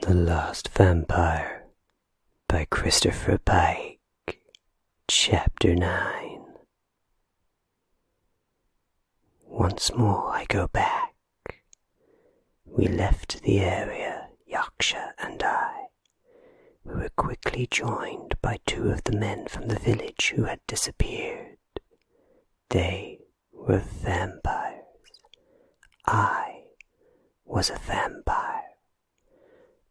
The Last Vampire by Christopher Pike. Chapter 9 Once more I go back. We left the area, Yaksha and I, we were quickly joined by two of the men from the village who had disappeared. They were vampires. I was a vampire.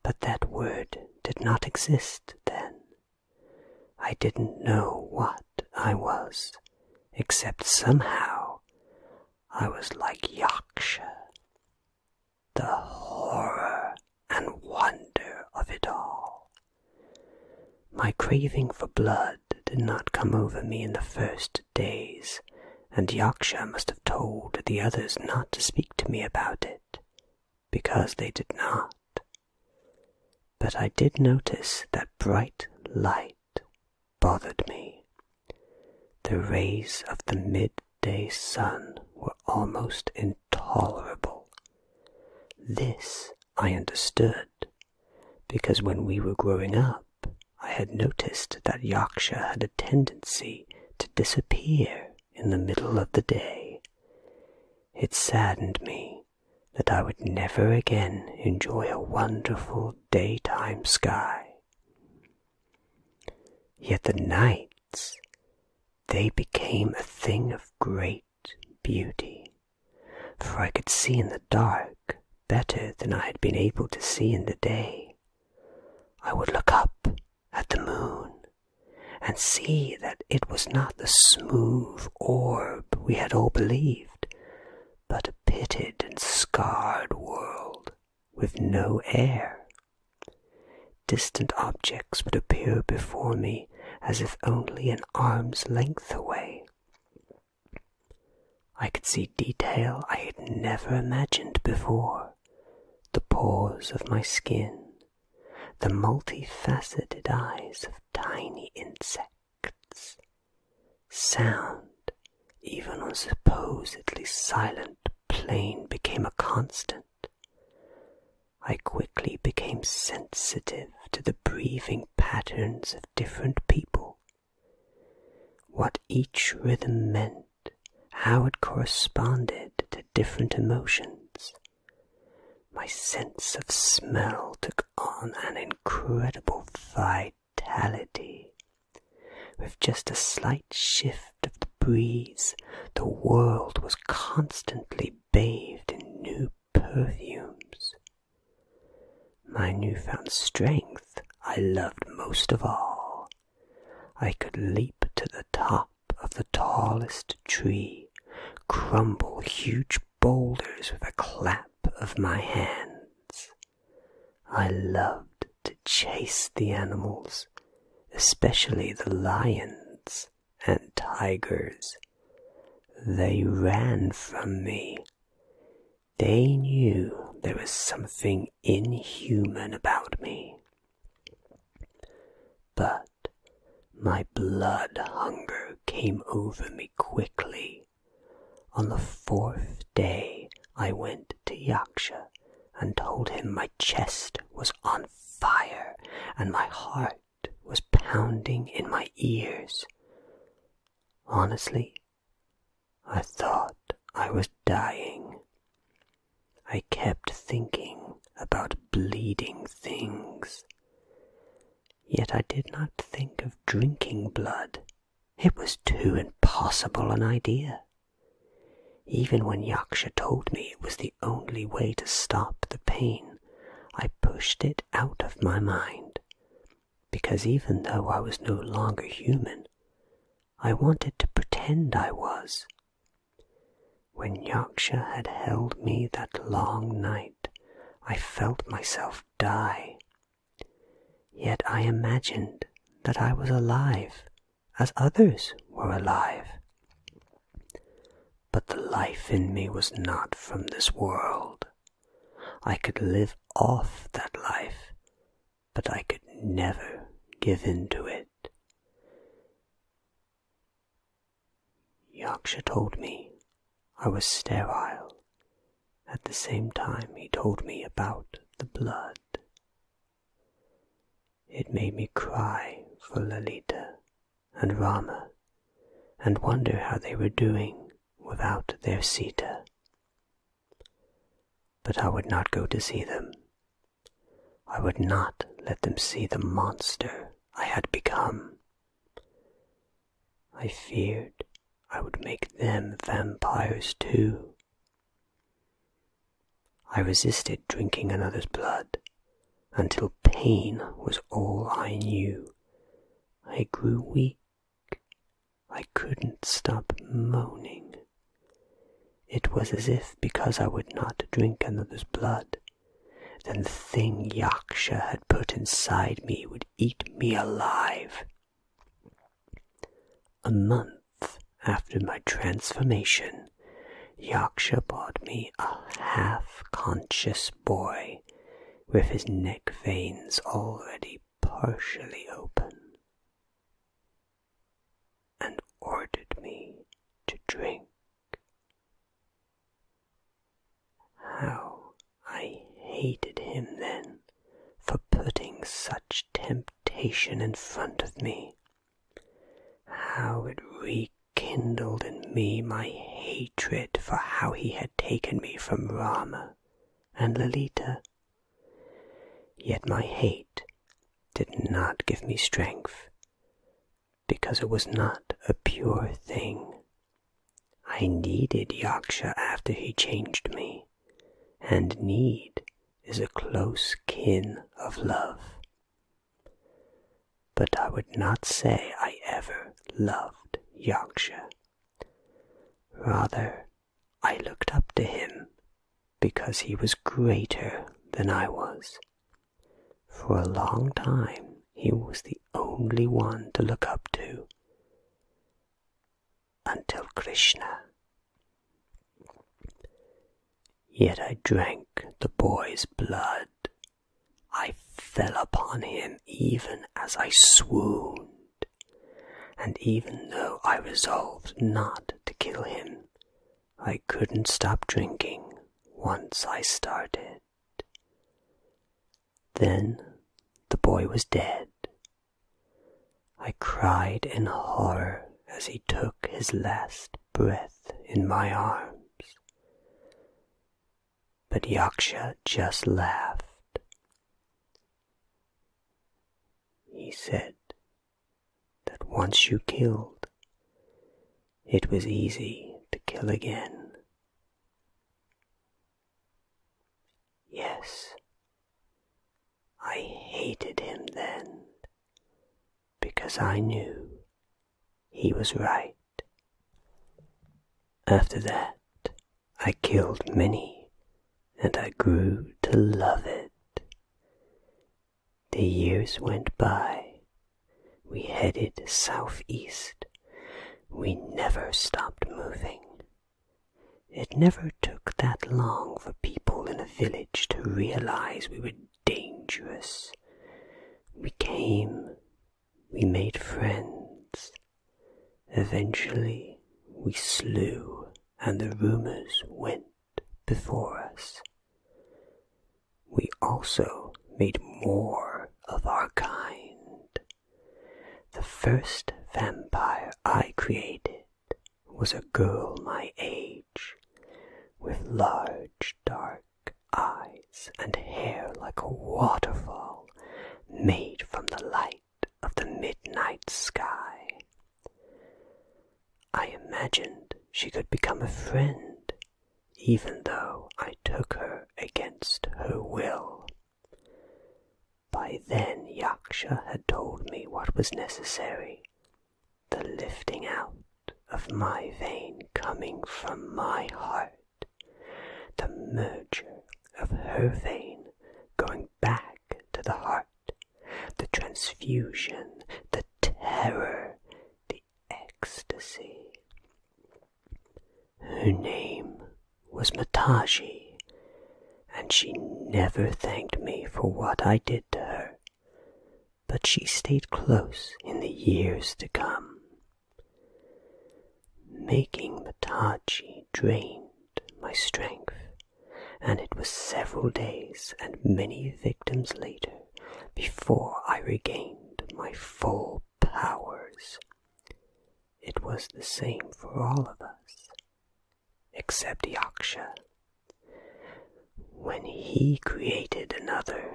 But that word did not exist then. I didn't know what I was, except somehow I was like Yaksha. The horror and wonder of it all. My craving for blood did not come over me in the first days, and Yaksha must have told the others not to speak to me about it, because they did not. But I did notice that bright light bothered me. The rays of the midday sun were almost in tolerable. This I understood, because when we were growing up, I had noticed that Yaksha had a tendency to disappear in the middle of the day. It saddened me that I would never again enjoy a wonderful daytime sky. Yet the nights, they became a thing of great beauty, for I could see in the dark better than I had been able to see in the day. I would look up at the moon and see that it was not the smooth orb we had all believed, but a pitted and scarred world with no air. Distant objects would appear before me as if only an arm's length away. I could see detail I had never imagined before the pores of my skin, the multifaceted eyes of tiny insects, sound. Even on supposedly silent plain became a constant. I quickly became sensitive to the breathing patterns of different people, what each rhythm meant, how it corresponded to different emotions. My sense of smell took on an incredible vitality. With just a slight shift of the breeze, the world was constantly bathed in new perfumes. My newfound strength I loved most of all. I could leap to the top of the tallest tree, crumble huge boulders with a clap of my hands. I loved to chase the animals, especially the lions and tigers. They ran from me. They knew there was something inhuman about me. But my blood hunger came over me quickly. On the fourth day, I went to Yaksha and told him my chest was on fire and my heart was pounding in my ears. Honestly, I thought I was dying. I kept thinking about bleeding things. Yet I did not think of drinking blood. It was too impossible an idea. Even when Yaksha told me it was the only way to stop the pain, I pushed it out of my mind. Because even though I was no longer human, I wanted to pretend I was. When Yorkshire had held me that long night, I felt myself die. Yet I imagined that I was alive, as others were alive. But the life in me was not from this world. I could live off that life, but I could never give in to it. Yaksha told me I was sterile. At the same time, he told me about the blood. It made me cry for Lalita and Rama and wonder how they were doing without their Sita. But I would not go to see them. I would not let them see the monster I had become. I feared I would make them vampires too. I resisted drinking another's blood, until pain was all I knew. I grew weak. I couldn't stop moaning. It was as if because I would not drink another's blood, then the thing Yaksha had put inside me would eat me alive. A month after my transformation, man. Yaksha brought me a half conscious boy with his neck veins already partially open and ordered me to drink. How I hated him then for putting such temptation in front of me. How it reeked kindled in me my hatred for how he had taken me from Rama and Lalita. Yet my hate did not give me strength, because it was not a pure thing. I needed Yaksha after he changed me, and need is a close kin of love. But I would not say I ever loved Yorkshire. Rather, I looked up to him because he was greater than I was. For a long time, he was the only one to look up to. Until Krishna. Yet I drank the boy's blood I fell upon him even as I swooned, and even though I resolved not to kill him, I couldn't stop drinking once I started. Then the boy was dead. I cried in horror as he took his last breath in my arms. But Yaksha just laughed. He said that once you killed, it was easy to kill again. Yes, I hated him then because I knew he was right. After that, I killed many, and I grew to love it. The years went by. We headed southeast. We never stopped moving. It never took that long for people in a village to realize we were dangerous. We came we made friends. Eventually, we slew, and the rumors went before us. We also made more of our kind. The first vampire I created was a girl my age, with large dark eyes and hair like a waterfall made from the light of the midnight sky. I imagined she could become a friend, even though I took her against her will. By then Yaksha had told me what was necessary the lifting out of my vein coming from my heart, the merger of her vein going back to the heart, the transfusion, the terror, the ecstasy. Her name was Matagi, and she never thanked me for what I did to her, but she stayed close in the years to come. Making the tachi drained my strength, and it was several days and many victims later before I regained my full powers. It was the same for all of us, except Yaksha. When he created another,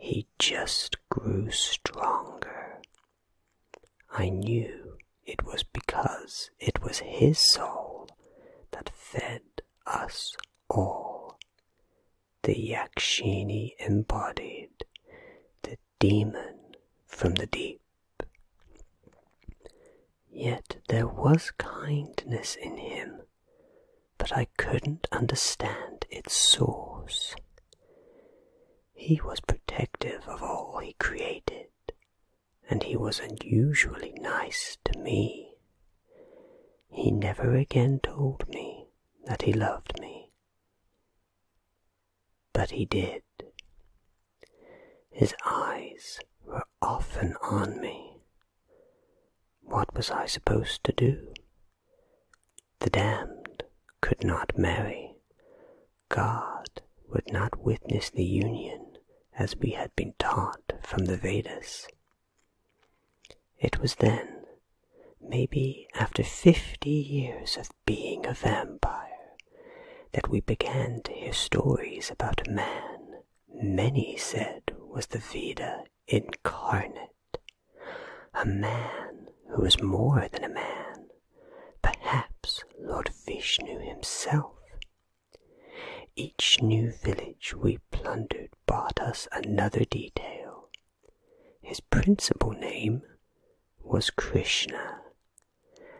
he just grew stronger. I knew it was because it was his soul that fed us all. The Yakshini embodied the demon from the deep. Yet there was kindness in him, but I couldn't understand its source. He was protective of all he created, and he was unusually nice to me. He never again told me that he loved me. But he did. His eyes were often on me. What was I supposed to do? The damned could not marry. God would not witness the union as we had been taught from the Vedas. It was then, maybe after fifty years of being a vampire, that we began to hear stories about a man many said was the Veda incarnate. A man who was more than a man, perhaps Lord Vishnu himself. Each new village we plundered brought us another detail. His principal name was Krishna,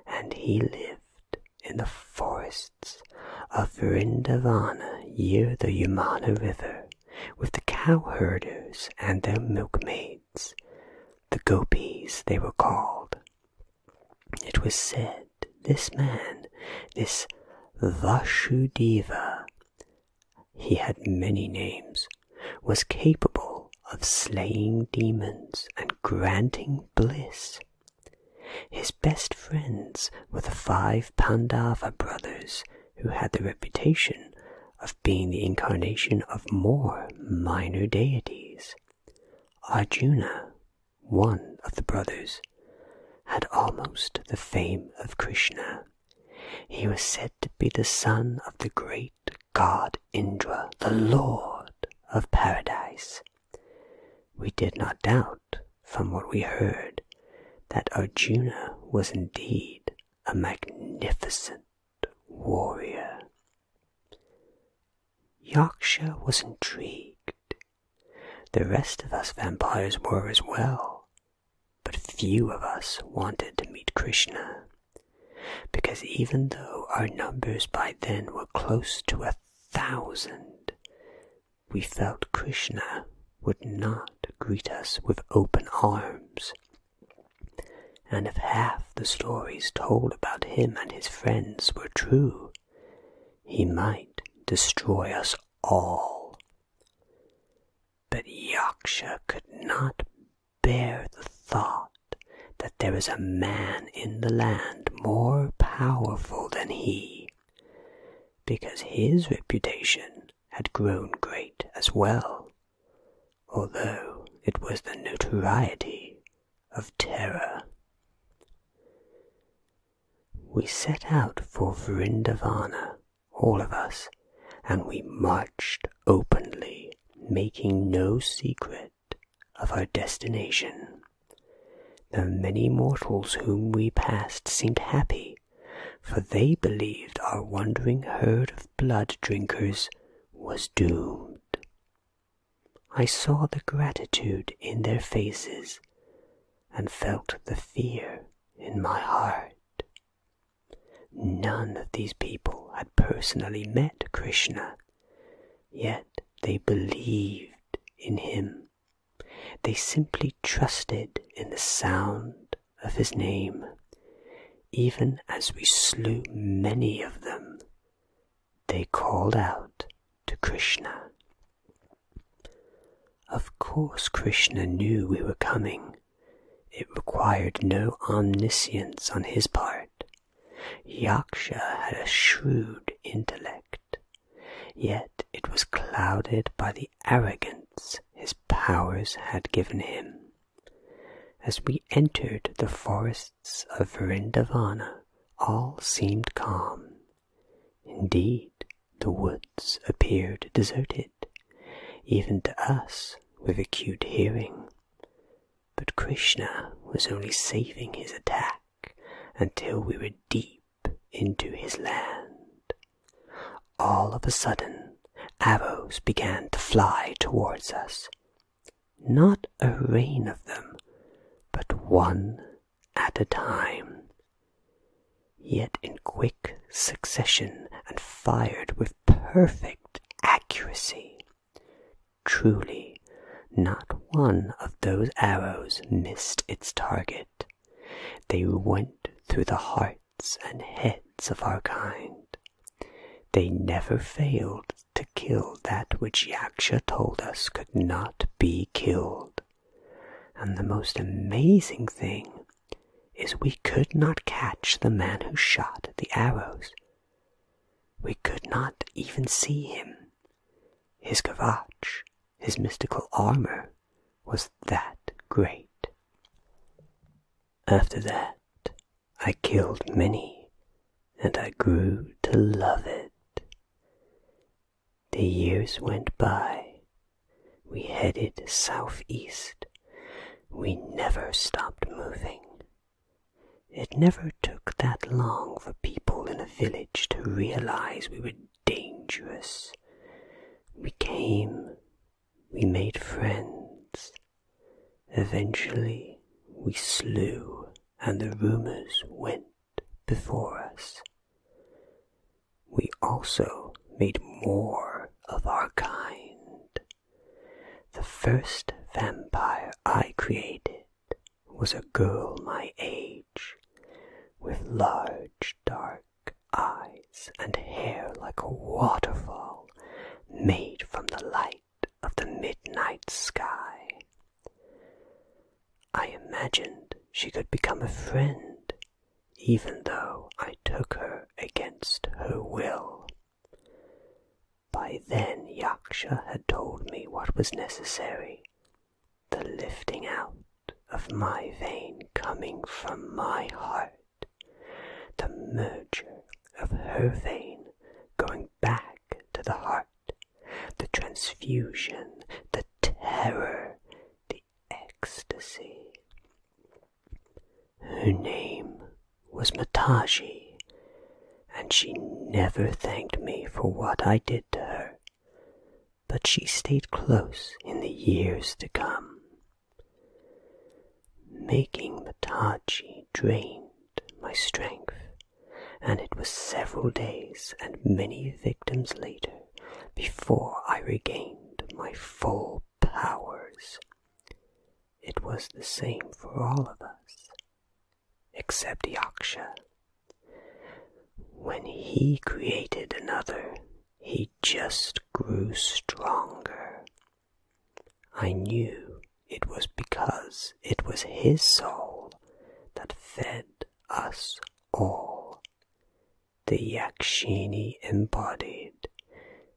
and he lived in the forests of Vrindavana near the Yamuna River with the cowherders and their milkmaids, the gopies they were called. It was said this man, this Vasudeva, he had many names, was capable of slaying demons and granting bliss. His best friends were the five Pandava brothers who had the reputation of being the incarnation of more minor deities. Arjuna, one of the brothers, had almost the fame of Krishna. He was said to be the son of the great god Indra, the lord of paradise. We did not doubt, from what we heard, that Arjuna was indeed a magnificent warrior. Yorkshire was intrigued. The rest of us vampires were as well, but few of us wanted to meet Krishna, because even though our numbers by then were close to a thousand, we felt Krishna would not greet us with open arms and if half the stories told about him and his friends were true, he might destroy us all. But Yaksha could not bear the thought that there was a man in the land more powerful than he, because his reputation had grown great as well although it was the notoriety of terror. We set out for Vrindavana, all of us, and we marched openly, making no secret of our destination. The many mortals whom we passed seemed happy for they believed our wandering herd of blood drinkers was doomed. I saw the gratitude in their faces and felt the fear in my heart. None of these people had personally met Krishna, yet they believed in him. They simply trusted in the sound of his name, even as we slew many of them, they called out to Krishna. Of course, Krishna knew we were coming. It required no omniscience on his part. Yaksha had a shrewd intellect, yet it was clouded by the arrogance his powers had given him. As we entered the forests of Vrindavana, all seemed calm. Indeed, the woods appeared deserted, even to us with acute hearing. But Krishna was only saving his attack until we were deep into his land. All of a sudden, arrows began to fly towards us. Not a rain of them, but one at a time. Yet in quick succession and fired with perfect accuracy. Truly, not one of those arrows missed its target. They went through the heart and heads of our kind. They never failed to kill that which Yaksha told us could not be killed. And the most amazing thing is we could not catch the man who shot the arrows. We could not even see him. His garage, his mystical armor, was that great. After that, I killed many, and I grew to love it. The years went by. We headed southeast. We never stopped moving. It never took that long for people in a village to realize we were dangerous. We came we made friends. Eventually, we slew, and the rumors went before us. We also made more of our kind. The first vampire I created was a girl my age, with large dark eyes and hair like a waterfall made from the light of the midnight sky. I imagined she could become a friend, even though I took her against her will. By then, Yaksha had told me what was necessary the lifting out of my vein coming from my heart the merger of her vein going back to the heart, the transfusion, the terror, the ecstasy. Her name was Mataji, and she never thanked me for what I did to her, but she stayed close in the years to come making the tachi drained my strength, and it was several days and many victims later before I regained my full powers. It was the same for all of us, except Yaksha. When he created another, he just grew stronger I knew it was because it was his soul that fed us all. The Yakshini embodied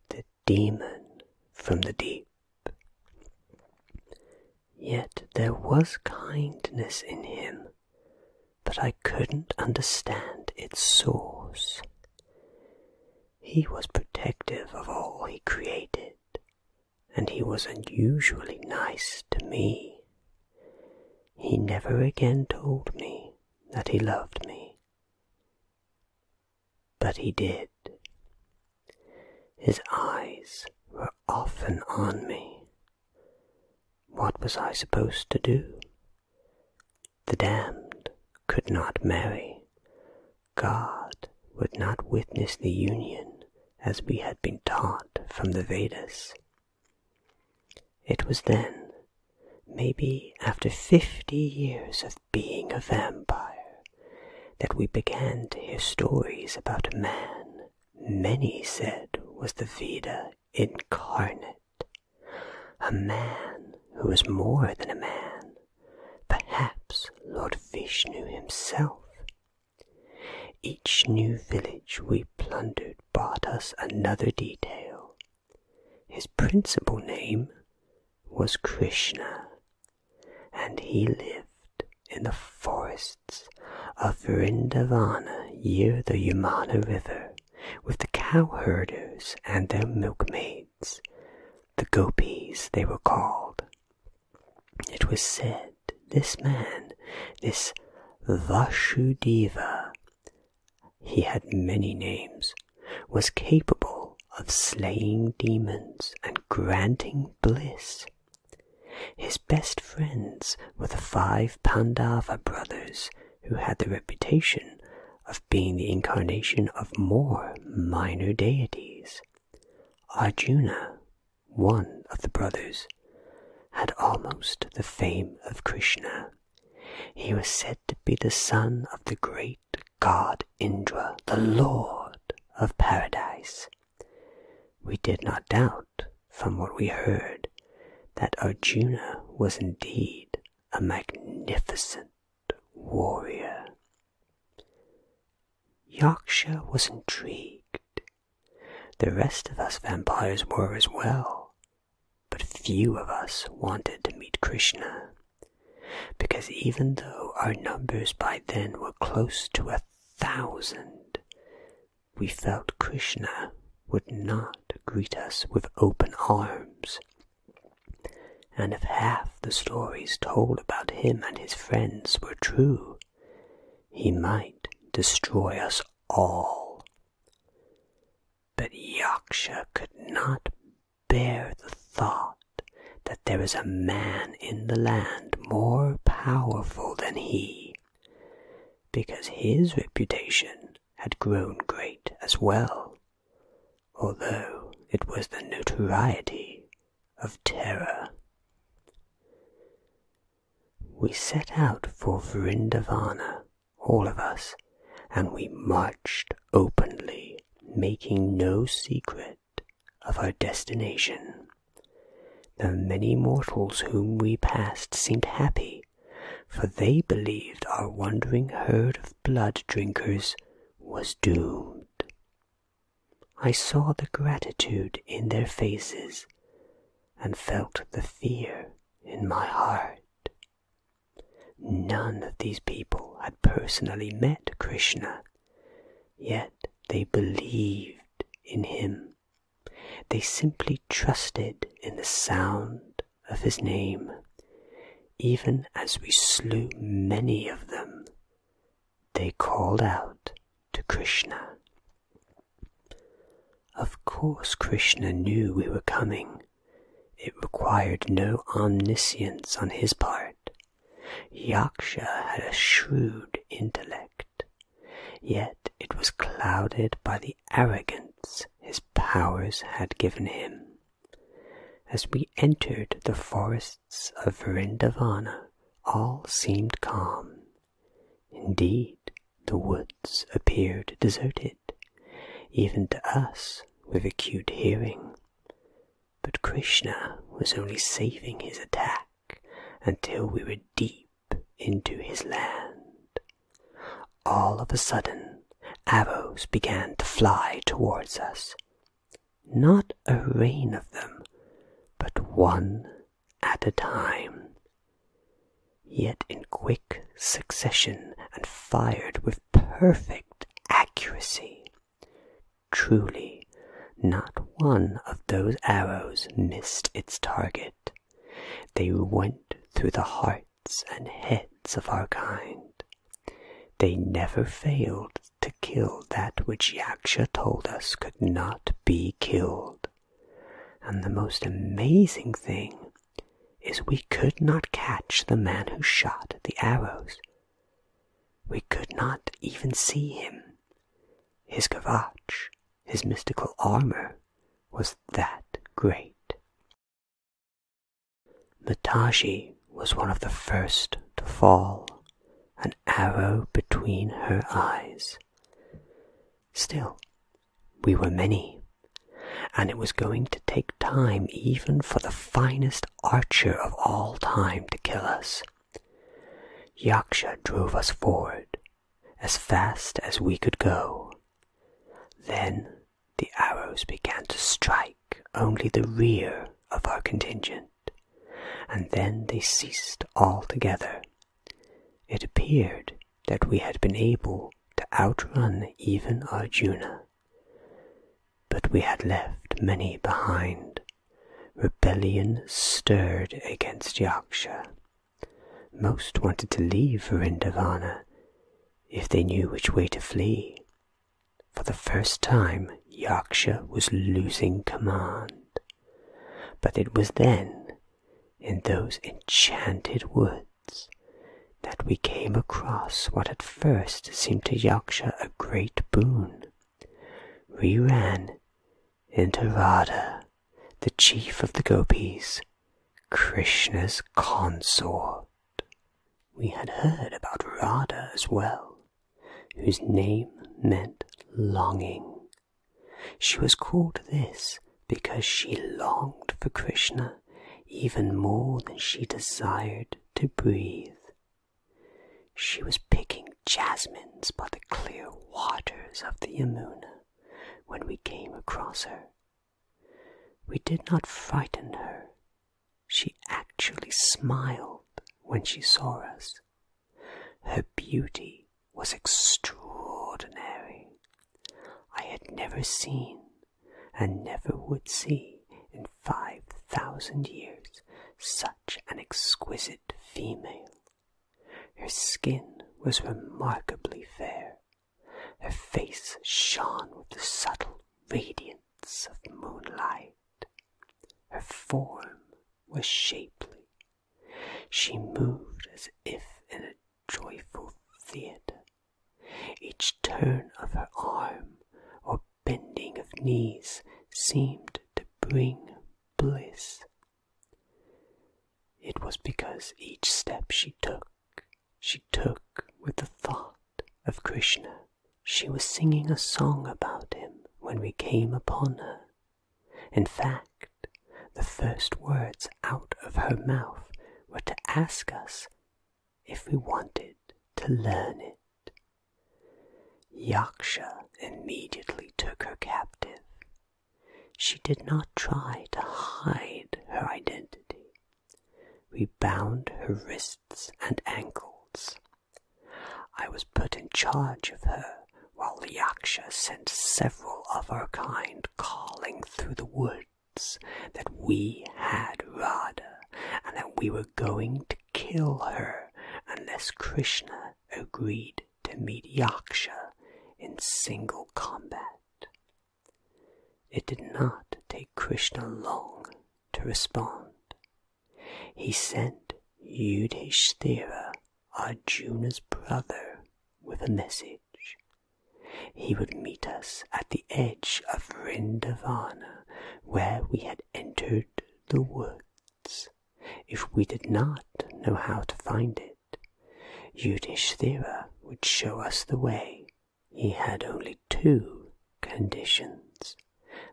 the demon from the deep. Yet there was kindness in him, but I couldn't understand its source. He was protective of all he created, and he was unusually nice to me. He never again told me that he loved me. But he did. His eyes were often on me. What was I supposed to do? The damned could not marry. God would not witness the union as we had been taught from the Vedas. It was then, maybe after fifty years of being a vampire, that we began to hear stories about a man many said was the Veda incarnate, a man who was more than a man, perhaps Lord Vishnu himself. Each new village we plundered brought us another detail. His principal name was Krishna, and he lived in the forests of Vrindavana near the Yamuna River with the cowherders and their milkmaids, the Gopis, they were called. It was said this man, this Vasudeva, he had many names, was capable of slaying demons and granting bliss. His best friends were the five Pandava brothers, who had the reputation of being the incarnation of more minor deities. Arjuna, one of the brothers, had almost the fame of Krishna. He was said to be the son of the great god Indra, the lord of paradise. We did not doubt, from what we heard, that Arjuna was indeed a magnificent warrior. Yorkshire was intrigued. The rest of us vampires were as well, but few of us wanted to meet Krishna, because even though our numbers by then were close to a thousand, we felt Krishna would not greet us with open arms and if half the stories told about him and his friends were true, he might destroy us all. But Yaksha could not bear the thought that there was a man in the land more powerful than he, because his reputation had grown great as well although it was the notoriety of terror. We set out for Vrindavana, all of us, and we marched openly, making no secret of our destination. The many mortals whom we passed seemed happy, for they believed our wandering herd of blood drinkers was doomed. I saw the gratitude in their faces and felt the fear in my heart. None of these people had personally met Krishna, yet they believed in him. They simply trusted in the sound of his name even as we slew many of them, they called out to Krishna. Of course, Krishna knew we were coming. It required no omniscience on his part. Yaksha had a shrewd intellect, yet it was clouded by the arrogance his powers had given him. As we entered the forests of Vrindavana, all seemed calm. Indeed, the woods appeared deserted, even to us with acute hearing. But Krishna was only saving his attack until we were deep into his land. All of a sudden, arrows began to fly towards us not a rain of them, but one at a time, yet in quick succession and fired with perfect accuracy. Truly, not one of those arrows missed its target. They went through the hearts and heads of our kind. They never failed to kill that which Yaksha told us could not be killed. And the most amazing thing is we could not catch the man who shot the arrows. We could not even see him. His gavach, his mystical armor, was that great. Mataji was one of the first to fall, an arrow between her eyes. Still, we were many, and it was going to take time even for the finest archer of all time to kill us. Yaksha drove us forward as fast as we could go. Then the arrows began to strike only the rear of our contingent, and then they ceased altogether. It appeared that we had been able to outrun even Arjuna, but we had left many behind. Rebellion stirred against Yaksha. Most wanted to leave Vrindavana if they knew which way to flee for the first time, Yaksha was losing command. But it was then, in those enchanted woods, that we came across what at first seemed to Yaksha a great boon. We ran into Radha, the chief of the gopis, Krishna's consort. We had heard about Radha as well, whose name meant longing. She was called this because she longed for Krishna even more than she desired to breathe. She was picking jasmines by the clear waters of the Yamuna when we came across her. We did not frighten her she actually smiled when she saw us. Her beauty was extraordinary. I had never seen, and never would see in five thousand years, such an exquisite female. Her skin was remarkably fair. Her face shone with the subtle radiance of moonlight, her form was shapely. She moved as if in a joyful theatre. Each turn of her arm or bending of knees seemed to bring bliss. It was because each step she took, she took with the thought of Krishna. She was singing a song about him when we came upon her. In fact, the first words out of her mouth were to ask us if we wanted to learn it. Yaksha immediately took her captive. She did not try to hide her identity. We bound her wrists and ankles I was put in charge of her while the Yaksha sent several of her kind calling through the woods that we had Rada and that we were going to kill her unless Krishna agreed to meet Yaksha in single combat. It did not take Krishna long to respond. He sent Yudhishthira, Arjuna's brother, with a message. He would meet us at the edge of Rindavana, where we had entered the woods. If we did not know how to find it, Yudhishthira would show us the way. He had only two conditions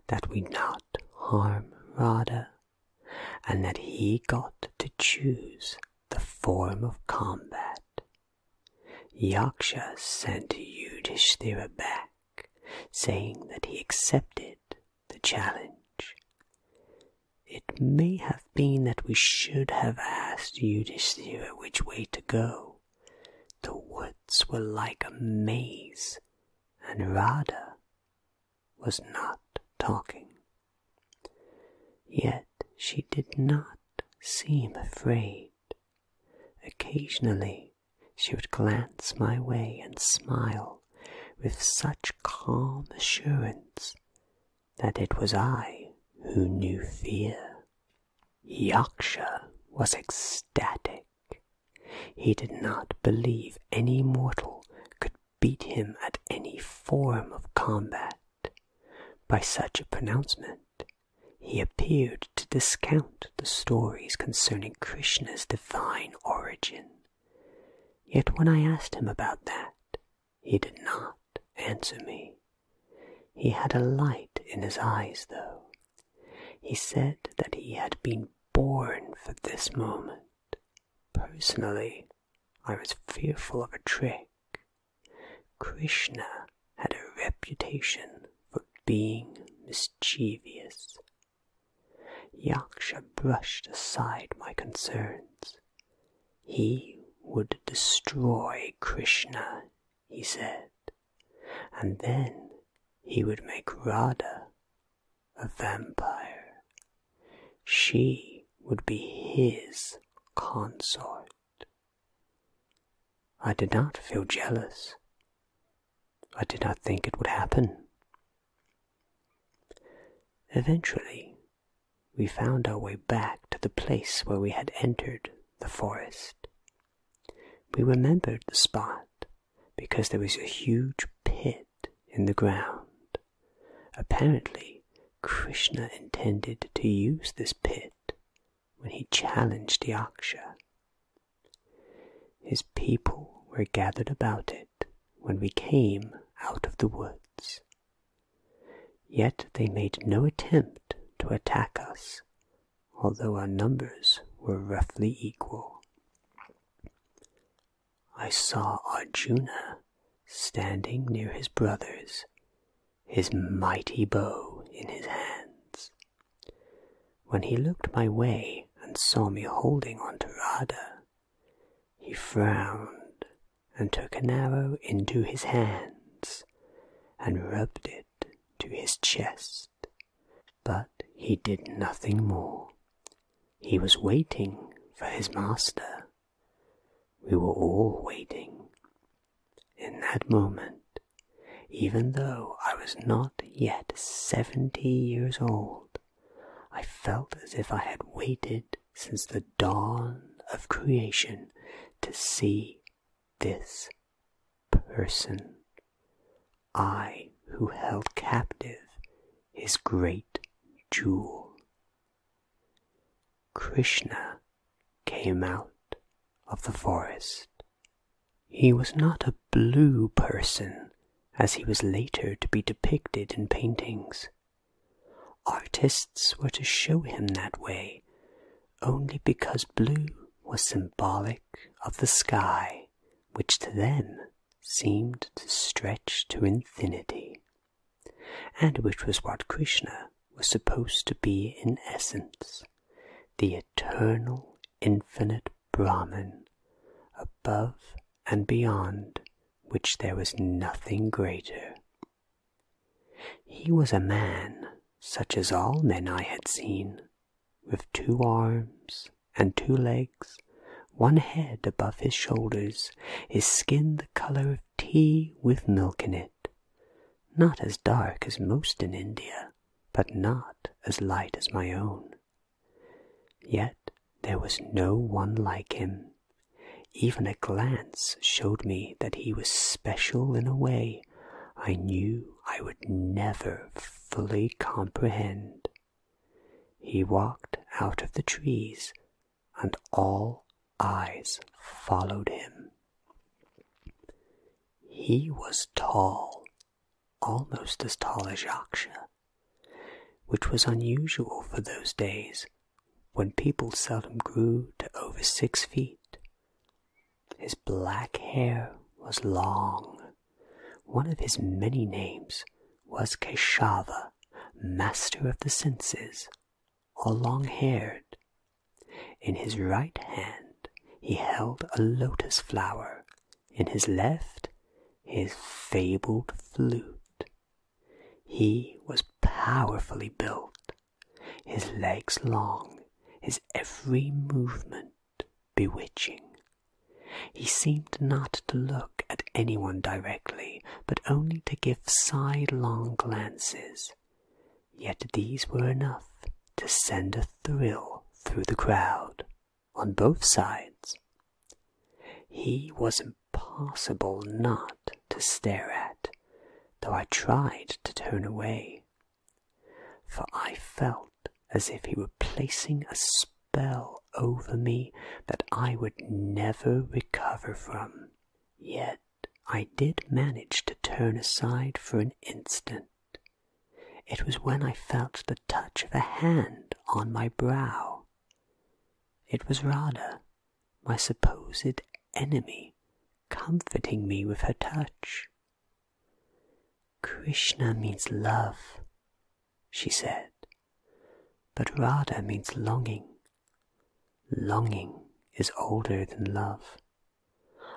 that we not harm Rada, and that he got to choose the form of combat. Yaksha sent Yudhishthira back, saying that he accepted the challenge. It may have been that we should have asked Yudhishthira which way to go. The woods were like a maze and Rada was not talking. Yet she did not seem afraid. Occasionally she would glance my way and smile with such calm assurance that it was I who knew fear. Yaksha was ecstatic he did not believe any mortal could beat him at any form of combat. By such a pronouncement, he appeared to discount the stories concerning Krishna's divine origin. Yet when I asked him about that, he did not answer me. He had a light in his eyes, though, he said that he had been born for this moment. Personally, I was fearful of a trick. Krishna had a reputation for being mischievous. Yaksha brushed aside my concerns. He would destroy Krishna, he said, and then he would make Rada a vampire. She would be his consort. I did not feel jealous. I did not think it would happen. Eventually, we found our way back to the place where we had entered the forest. We remembered the spot because there was a huge pit in the ground. Apparently, Krishna intended to use this pit when he challenged Yaksha. His people were gathered about it when we came out of the woods. Yet they made no attempt to attack us although our numbers were roughly equal. I saw Arjuna standing near his brothers, his mighty bow in his hands. When he looked my way and saw me holding on to Radha, he frowned and took an arrow into his hands and rubbed it to his chest but he did nothing more. He was waiting for his master. We were all waiting. In that moment, even though I was not yet seventy years old, I felt as if I had waited since the dawn of creation to see this person, I who held captive his great jewel. Krishna came out of the forest. He was not a blue person, as he was later to be depicted in paintings. Artists were to show him that way only because blue was symbolic of the sky which to them seemed to stretch to infinity, and which was what Krishna was supposed to be in essence the eternal, infinite Brahman, above and beyond which there was nothing greater. He was a man, such as all men I had seen, with two arms and two legs, one head above his shoulders, his skin the colour of tea with milk in it. Not as dark as most in India, but not as light as my own. Yet there was no one like him. Even a glance showed me that he was special in a way I knew I would never fully comprehend. He walked out of the trees, and all eyes followed him. He was tall, almost as tall as Yaksha, which was unusual for those days when people seldom grew to over six feet. His black hair was long one of his many names was Keshava, master of the senses, or long haired. In his right hand he held a lotus flower, in his left, his fabled flute. He was powerfully built, his legs long, his every movement bewitching. He seemed not to look at anyone directly, but only to give sidelong glances. Yet these were enough to send a thrill through the crowd, on both sides. He was impossible not to stare at, though I tried to turn away, for I felt as if he were placing a spell over me that I would never recover from. Yet I did manage to turn aside for an instant. It was when I felt the touch of a hand on my brow. It was Rada, my supposed enemy, comforting me with her touch. Krishna means love, she said, but Radha means longing. Longing is older than love.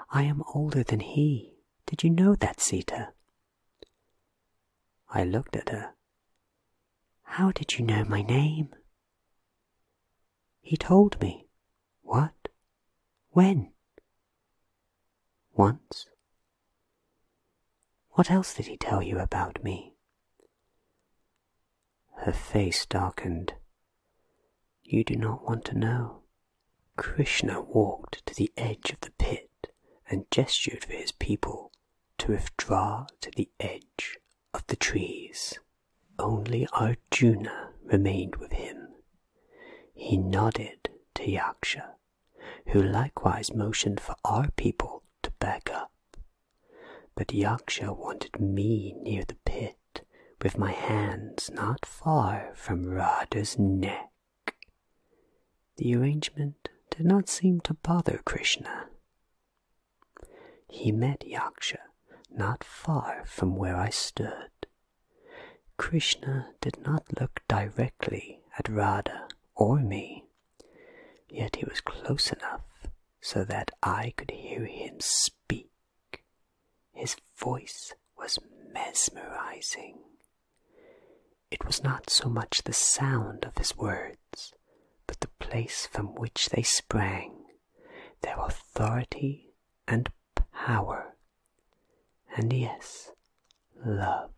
I am older than he. Did you know that, Sita? I looked at her. How did you know my name? He told me. What? When? Once what else did he tell you about me? Her face darkened. You do not want to know. Krishna walked to the edge of the pit and gestured for his people to withdraw to the edge of the trees. Only Arjuna remained with him. He nodded to Yaksha who likewise motioned for our people to back up. But Yaksha wanted me near the pit, with my hands not far from Rada's neck. The arrangement did not seem to bother Krishna. He met Yaksha not far from where I stood. Krishna did not look directly at Radha or me, yet he was close enough so that I could hear him speak. His voice was mesmerizing. It was not so much the sound of his words, but the place from which they sprang, their authority and power and yes, love.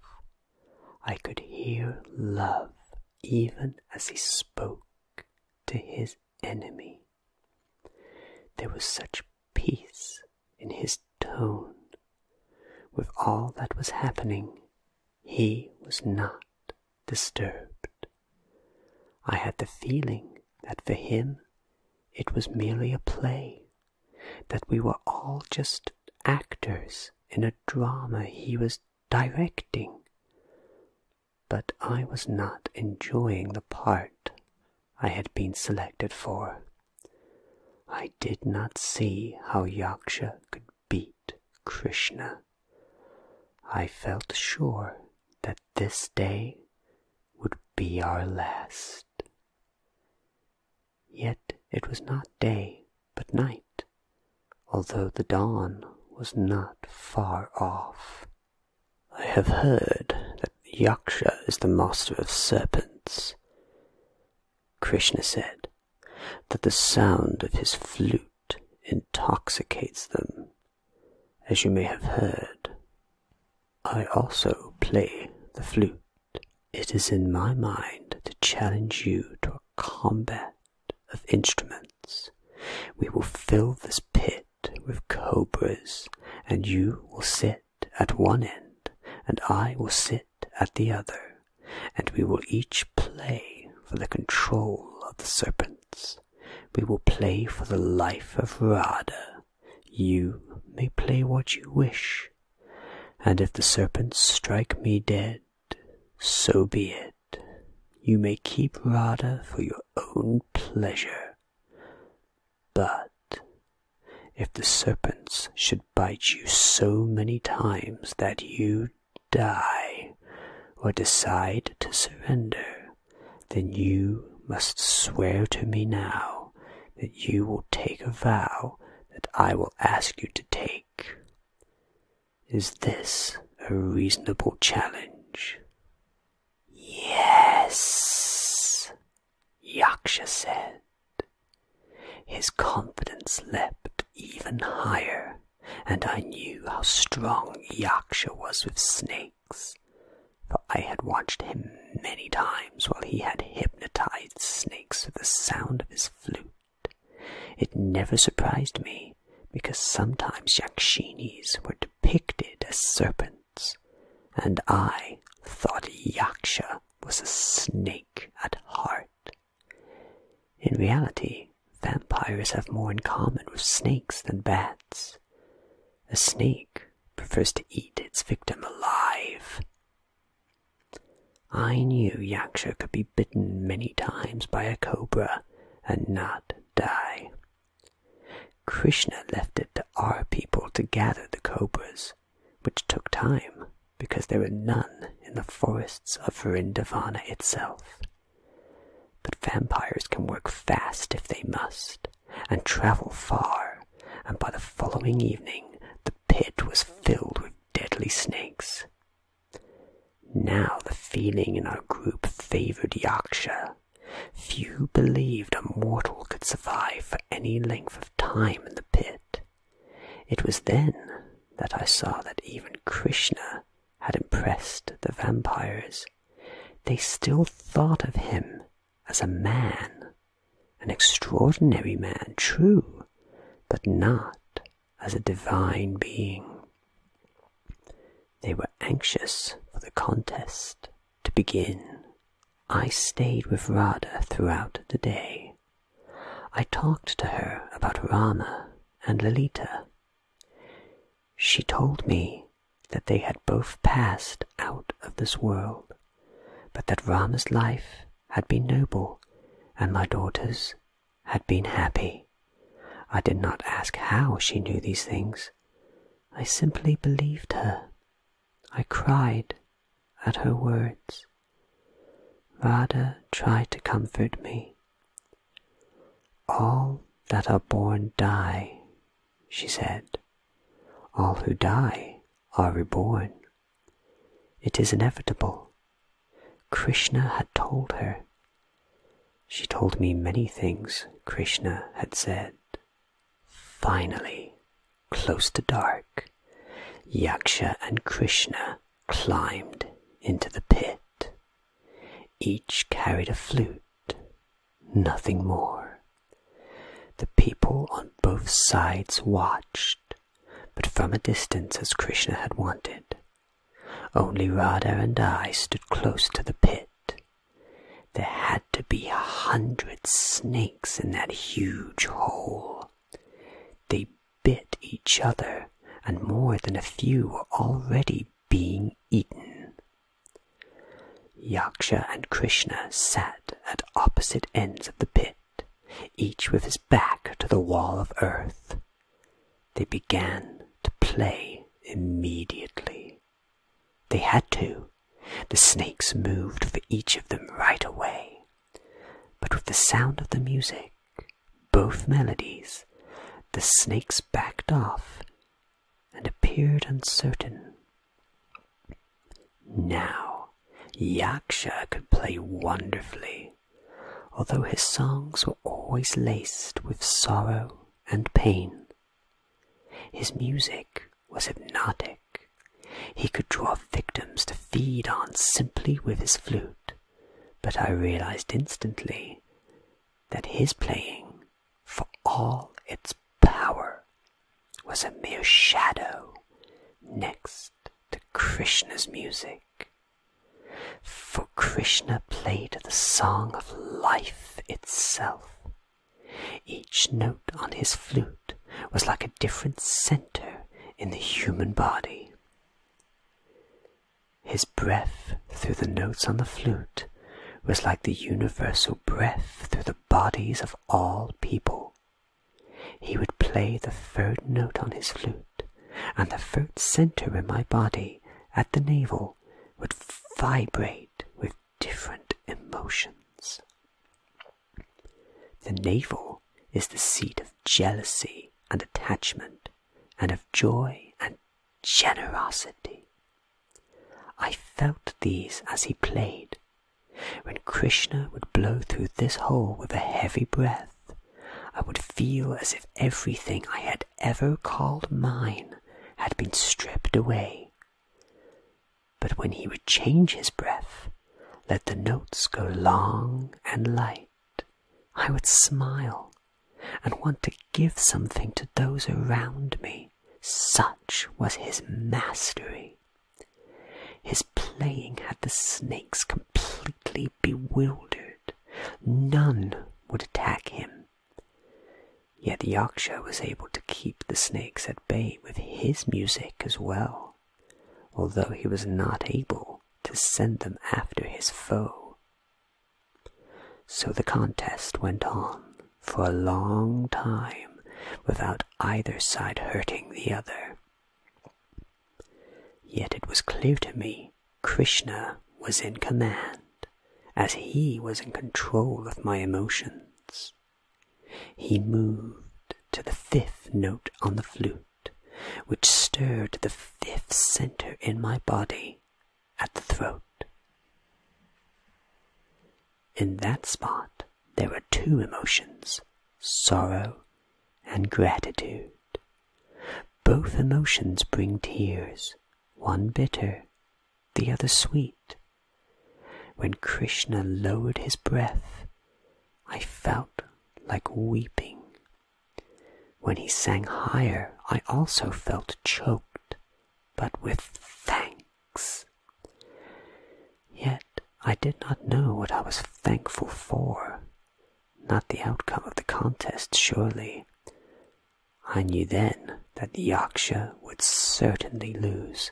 I could hear love even as he spoke to his enemy. There was such peace in his tone. With all that was happening, he was not disturbed. I had the feeling that for him it was merely a play that we were all just actors in a drama he was directing. But I was not enjoying the part I had been selected for. I did not see how Yaksha could beat Krishna. I felt sure that this day would be our last. Yet it was not day, but night, although the dawn was not far off. I have heard that Yaksha is the master of serpents. Krishna said that the sound of his flute intoxicates them, as you may have heard. I also play the flute it is in my mind to challenge you to a combat of instruments. We will fill this pit with cobras, and you will sit at one end, and I will sit at the other, and we will each play for the control of the serpents. We will play for the life of Rada. You may play what you wish, and if the serpents strike me dead, so be it. You may keep Radha for your own pleasure. But if the serpents should bite you so many times that you die or decide to surrender, then you must swear to me now that you will take a vow that I will ask you to take. Is this a reasonable challenge? Yes, Yaksha said. His confidence leapt even higher, and I knew how strong Yaksha was with snakes, for I had watched him many times while he had hypnotized snakes with the sound of his flute. It never surprised me, because sometimes Yakshinis were depicted as serpents, and I thought Yaksha was a snake at heart. In reality, vampires have more in common with snakes than bats. A snake prefers to eat its victim alive, I knew Yaksha could be bitten many times by a cobra and not die. Krishna left it to our people to gather the cobras, which took time because there were none in the forests of Vrindavana itself. But vampires can work fast if they must, and travel far, and by the following evening the pit was filled with deadly snakes. Now the feeling in our group favored Yaksha. Few believed a mortal could survive for any length of time in the pit. It was then that I saw that even Krishna had impressed the vampires. They still thought of him as a man an extraordinary man, true, but not as a divine being. They were anxious for the contest to begin. I stayed with Radha throughout the day. I talked to her about Rama and Lalita. She told me that they had both passed out of this world, but that Rama's life had been noble, and my daughters had been happy. I did not ask how she knew these things. I simply believed her. I cried at her words. Radha tried to comfort me. All that are born die, she said. All who die are reborn. It is inevitable. Krishna had told her. She told me many things Krishna had said. Finally, close to dark, Yaksha and Krishna climbed into the pit. Each carried a flute, nothing more. The people on both sides watched, but from a distance as Krishna had wanted. Only Radha and I stood close to the pit. There had to be a hundred snakes in that huge hole. They bit each other, and more than a few were already being eaten. Yaksha and Krishna sat at opposite ends of the pit each with his back to the wall of earth. They began to play immediately. They had to. The snakes moved for each of them right away. But with the sound of the music, both melodies, the snakes backed off and appeared uncertain. Now Yaksha could play wonderfully, although his songs were always laced with sorrow and pain. His music was hypnotic. He could draw victims to feed on simply with his flute, but I realized instantly that his playing, for all its power, was a mere shadow next to Krishna's music. For Krishna played the song of life itself. Each note on his flute was like a different center in the human body. His breath through the notes on the flute was like the universal breath through the bodies of all people. He would play the third note on his flute, and the third center in my body, at the navel, would vibrate with different emotions. The navel is the seat of jealousy and attachment, and of joy and generosity. I felt these as he played. When Krishna would blow through this hole with a heavy breath, I would feel as if everything I had ever called mine had been stripped away. But when he would change his breath, let the notes go long and light, I would smile and want to give something to those around me. Such was his mastery. His playing had the snakes completely bewildered. None would attack him. Yet the Yaksha was able to keep the snakes at bay with his music as well, although he was not able to send them after his foe. So the contest went on for a long time without either side hurting the other. Yet it was clear to me Krishna was in command, as he was in control of my emotions. He moved to the fifth note on the flute, which stirred the fifth center in my body at the throat. In that spot, there were two emotions sorrow and gratitude. Both emotions bring tears, one bitter, the other sweet. When Krishna lowered his breath, I felt like weeping. When he sang higher, I also felt choked, but with thanks. Yet I did not know what I was thankful for not the outcome of the contest, surely. I knew then that the Yaksha would certainly lose,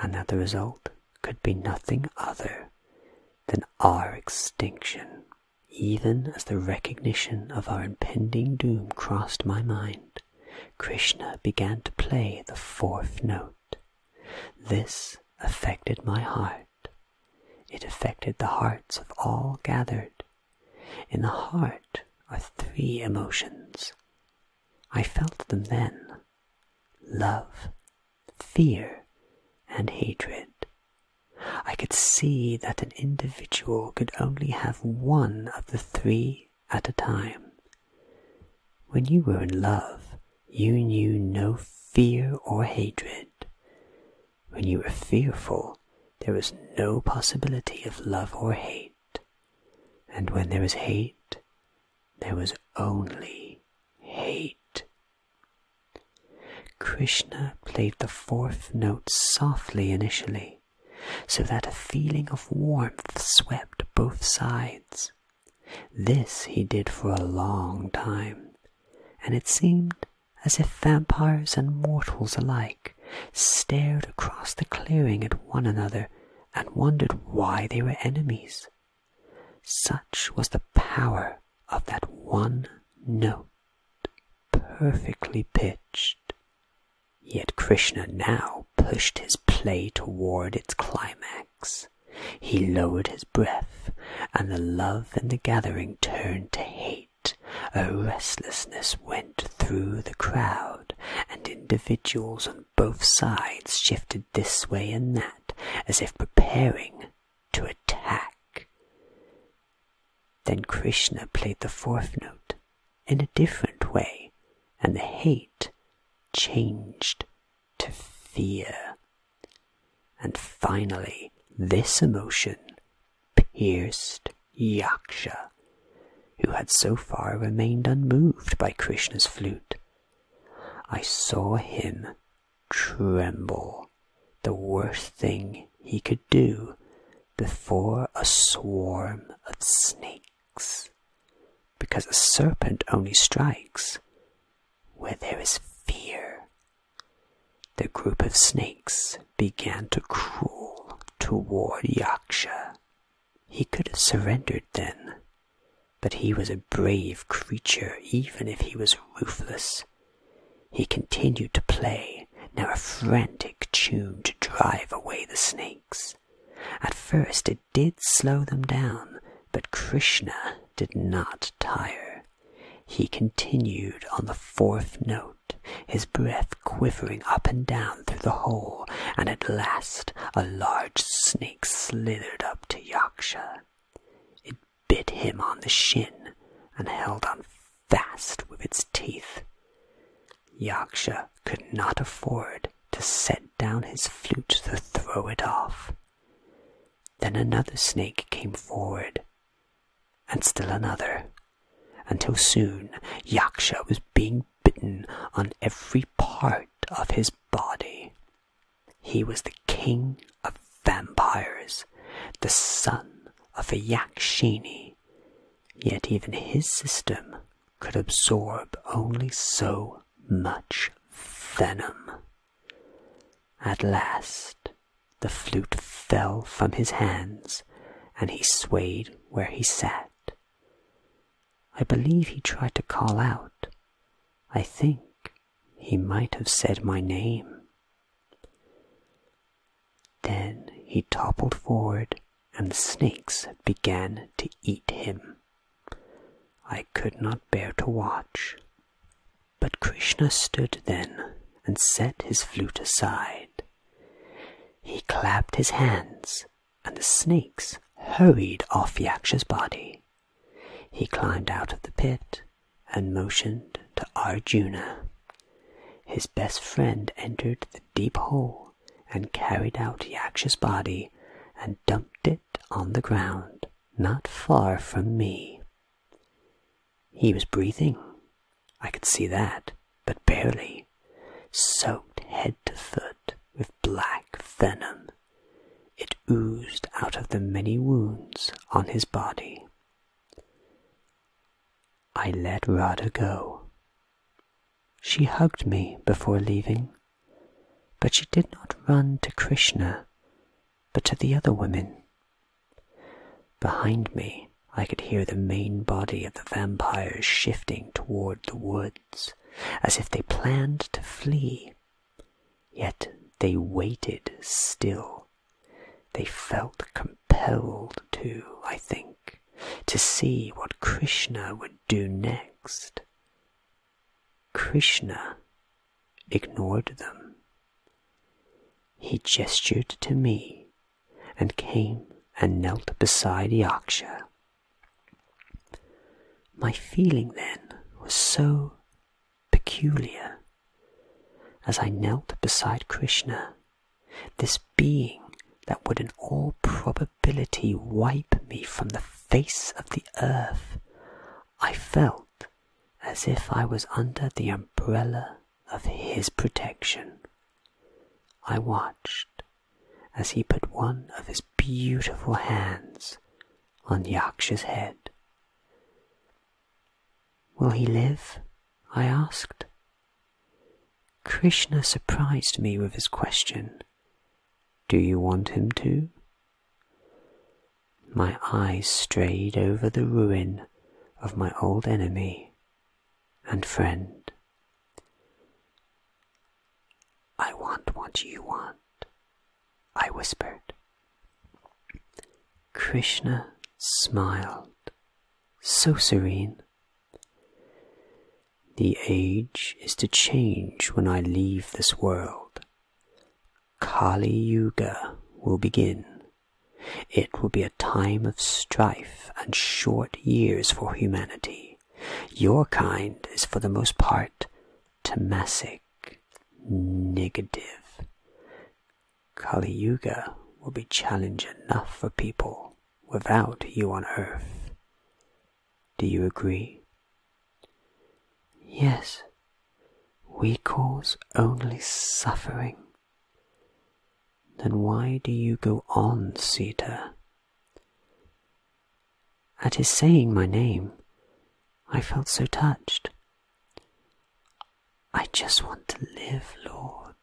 and that the result could be nothing other than our extinction. Even as the recognition of our impending doom crossed my mind, Krishna began to play the fourth note. This affected my heart it affected the hearts of all gathered. In the heart are three emotions. I felt them then love, fear, and hatred. I could see that an individual could only have one of the three at a time. When you were in love, you knew no fear or hatred. When you were fearful, there was no possibility of love or hate. And when there was hate, there was only hate. Krishna played the fourth note softly initially, so that a feeling of warmth swept both sides. This he did for a long time, and it seemed as if vampires and mortals alike stared across the clearing at one another and wondered why they were enemies. Such was the power of that one note, perfectly pitched. Yet Krishna now pushed his play toward its climax. He lowered his breath, and the love in the gathering turned to hate. A restlessness went through the crowd, and individuals on both sides shifted this way and that, as if preparing to attack. Then Krishna played the fourth note in a different way, and the hate changed to fear. And finally, this emotion pierced Yaksha, who had so far remained unmoved by Krishna's flute. I saw him tremble, the worst thing he could do before a swarm of snakes, because a serpent only strikes where there is fear the group of snakes began to crawl toward Yaksha. He could have surrendered then, but he was a brave creature even if he was ruthless. He continued to play, now a frantic tune to drive away the snakes. At first it did slow them down, but Krishna did not tire. He continued on the fourth note, his breath quivering up and down through the hole, and at last a large snake slithered up to Yaksha. It bit him on the shin and held on fast with its teeth. Yaksha could not afford to set down his flute to throw it off. Then another snake came forward, and still another, until soon Yaksha was being bitten on every part of his body. He was the king of vampires, the son of a Yakshini, yet even his system could absorb only so much venom. At last, the flute fell from his hands, and he swayed where he sat. I believe he tried to call out. I think he might have said my name. Then he toppled forward, and the snakes began to eat him. I could not bear to watch. But Krishna stood then and set his flute aside. He clapped his hands, and the snakes hurried off Yaksha's body. He climbed out of the pit and motioned to Arjuna. His best friend entered the deep hole and carried out Yaksha's body and dumped it on the ground, not far from me. He was breathing. I could see that, but barely. Soaked head to foot with black venom, it oozed out of the many wounds on his body. I let Rada go. She hugged me before leaving, but she did not run to Krishna, but to the other women Behind me, I could hear the main body of the vampires shifting toward the woods, as if they planned to flee. Yet they waited still. They felt compelled to, I think, to see what Krishna would do next. Krishna ignored them. He gestured to me and came and knelt beside Yaksha. My feeling then was so peculiar. As I knelt beside Krishna, this being that would in all probability wipe me from the face of the earth, I felt as if I was under the umbrella of his protection. I watched as he put one of his beautiful hands on Yaksha's head. Will he live? I asked. Krishna surprised me with his question. Do you want him to? My eyes strayed over the ruin of my old enemy and friend. I want what you want, I whispered. Krishna smiled, so serene. The age is to change when I leave this world. Kali Yuga will begin. It will be a time of strife and short years for humanity. Your kind is for the most part tamasic, negative. Kali Yuga will be challenge enough for people without you on earth. Do you agree? Yes, we cause only suffering. Then why do you go on, Sita? At his saying my name, I felt so touched. I just want to live, Lord.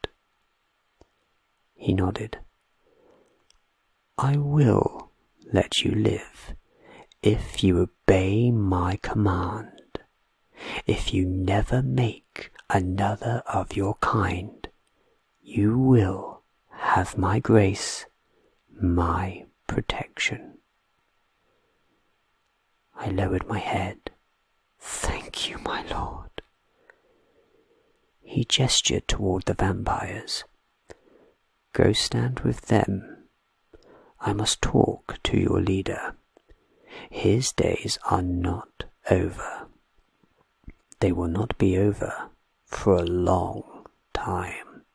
He nodded. I will let you live if you obey my command. If you never make another of your kind, you will have my grace, my protection. I lowered my head. Thank you, my lord. He gestured toward the vampires. Go stand with them I must talk to your leader. His days are not over. They will not be over for a long time.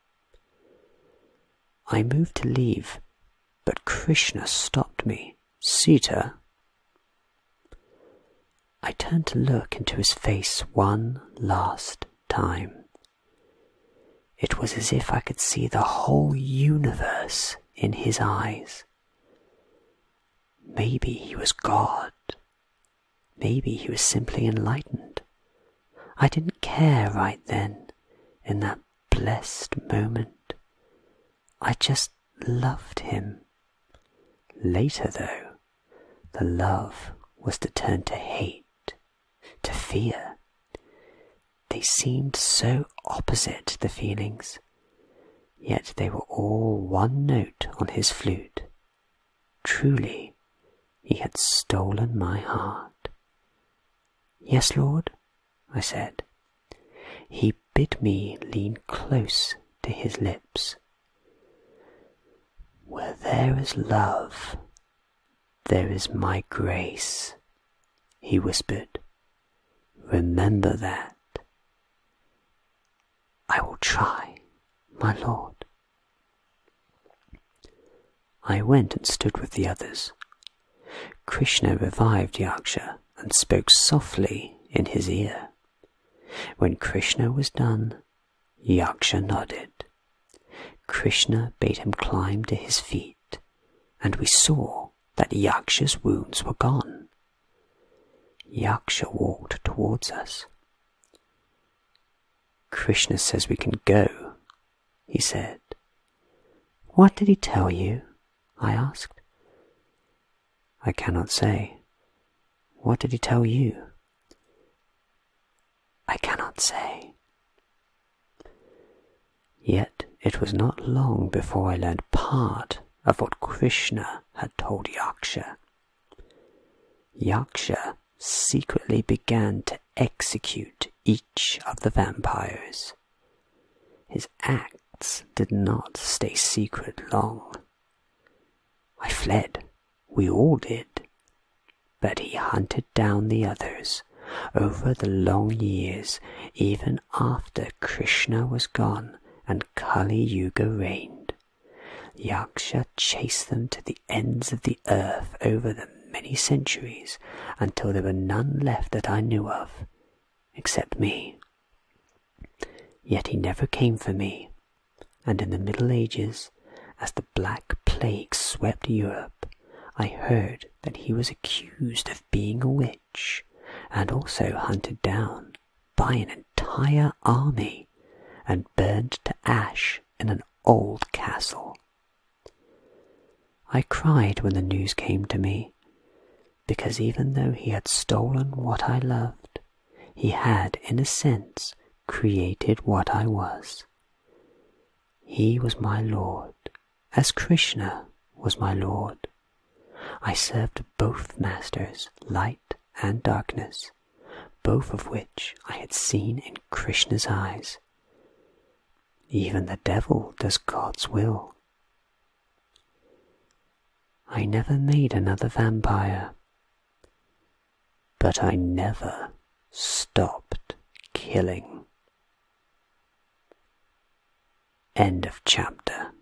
I moved to leave, but Krishna stopped me. Sita? I turned to look into his face one last time. It was as if I could see the whole universe in his eyes. Maybe he was God. Maybe he was simply enlightened. I didn't care right then, in that blessed moment. I just loved him. Later, though, the love was to turn to hate, to fear. They seemed so opposite, the feelings, yet they were all one note on his flute. Truly, he had stolen my heart. Yes, Lord, I said. He bid me lean close to his lips. Where there is love, there is my grace, he whispered. Remember that. I will try, my lord. I went and stood with the others. Krishna revived Yaksha and spoke softly in his ear. When Krishna was done, Yaksha nodded. Krishna bade him climb to his feet, and we saw that Yaksha's wounds were gone. Yaksha walked towards us. Krishna says we can go, he said. What did he tell you? I asked. I cannot say. What did he tell you? I cannot say. Yet it was not long before I learned part of what Krishna had told Yaksha. Yaksha secretly began to execute each of the vampires. His acts did not stay secret long. I fled, we all did, but he hunted down the others over the long years, even after Krishna was gone and Kali Yuga reigned. Yaksha chased them to the ends of the earth over the many centuries until there were none left that I knew of, except me. Yet he never came for me, and in the Middle Ages, as the Black Plague swept Europe, I heard that he was accused of being a witch and also hunted down by an entire army and burned to ash in an old castle. I cried when the news came to me, because even though he had stolen what I loved, he had, in a sense, created what I was. He was my lord, as Krishna was my Lord, I served both masters, light and darkness, both of which I had seen in Krishna's eyes. Even the devil does God's will. I never made another vampire, but I never stopped killing. End of chapter.